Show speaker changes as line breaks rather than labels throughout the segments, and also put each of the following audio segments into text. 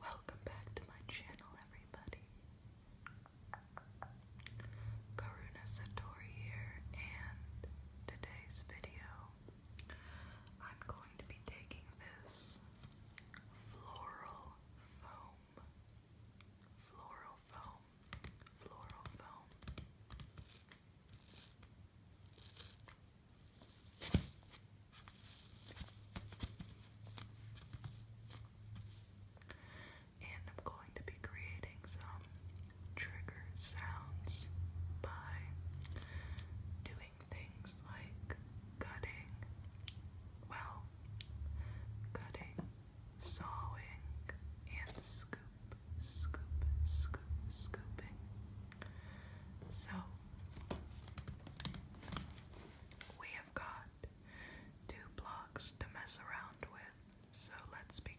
Welcome back to my channel, everybody. Karuna Satori here, and today's video, I'm going to be taking this floral foam, floral foam, floral foam. And I'm going to be creating some trigger sounds by doing things like cutting, well, cutting, sawing, and scoop, scoop, scoop, scooping. So we have got two blocks to mess around with, so let's begin.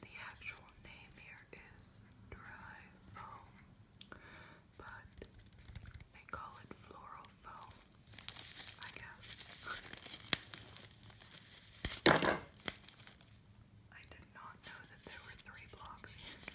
The actual name here is dry foam, but they call it floral foam, I guess. I did not know that there were three blocks here.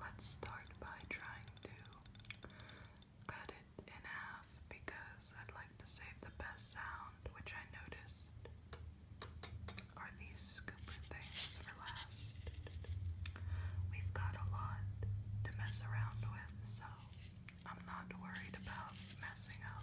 Let's start by trying to cut it in half because I'd like to save the best sound, which I noticed are these scooper things for last. We've got a lot to mess around with, so I'm not worried about messing up.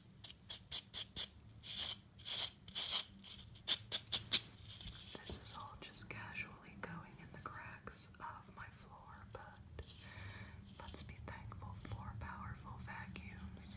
This is all just casually going in the cracks of my floor, but let's be thankful for powerful vacuums.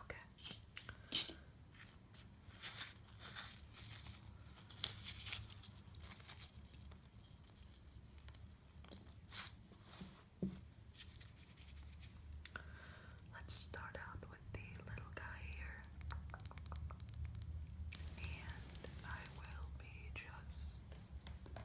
Okay. Let's start out with the little guy here. And I will be just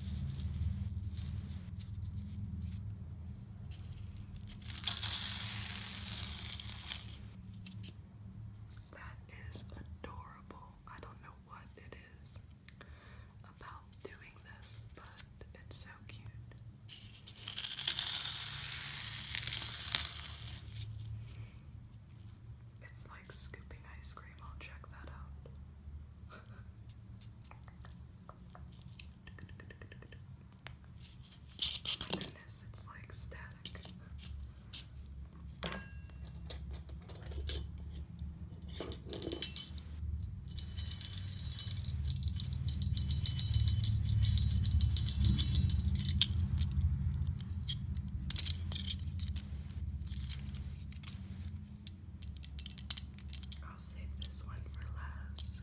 That is adorable. I don't know what it is about doing this, but it's so cute. It's like scooping ice cream, I'll check that out. oh my goodness, it's like static. I'll save this one for last.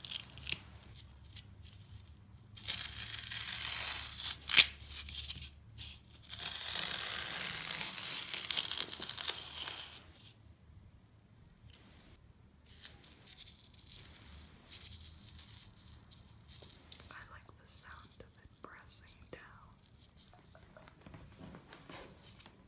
I like the sound of it pressing down.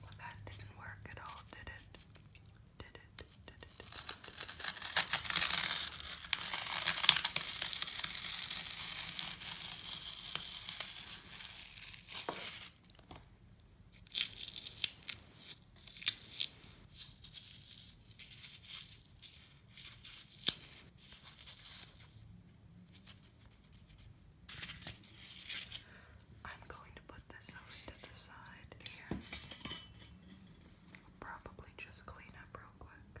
Well, that didn't work at all, did it? Did it? Did it? Did it? Did it? I'm going to put this over to the side here. Probably just clean up real quick.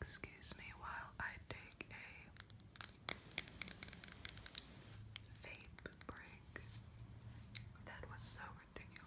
Excuse me while I take a vape break that was so ridiculous.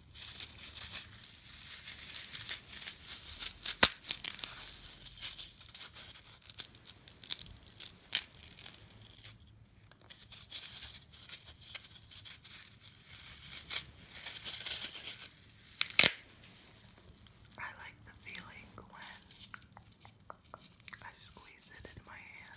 I like the feeling when I squeeze it in my hand.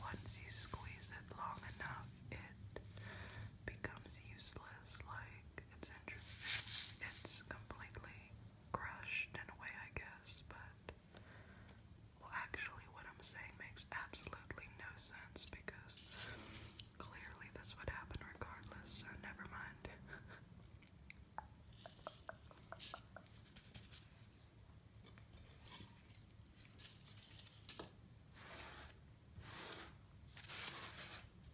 Once you squeeze it long enough, it becomes useless, like it's interesting. It's completely crushed in a way, I guess, but. Well, actually, what I'm saying makes absolutely no sense because clearly this would happen regardless, so never mind.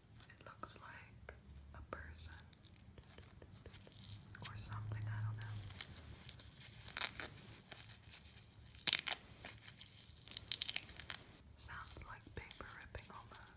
It looks like a person or something, I don't know. Sounds like paper ripping almost.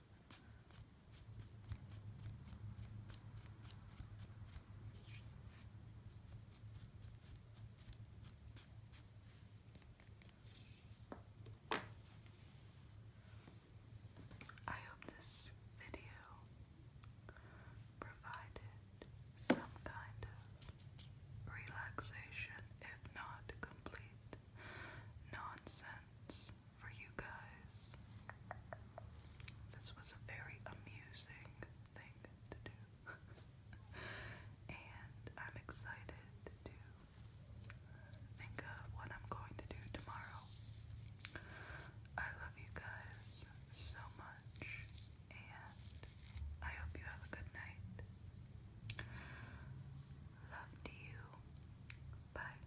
I hope this video provided some kind of relaxation, if not complete nonsense sense for you guys. This was a very amusing thing to do. and I'm excited to think of what I'm going to do tomorrow. I love you guys so much, and I hope you have a good night. Love you. Bye.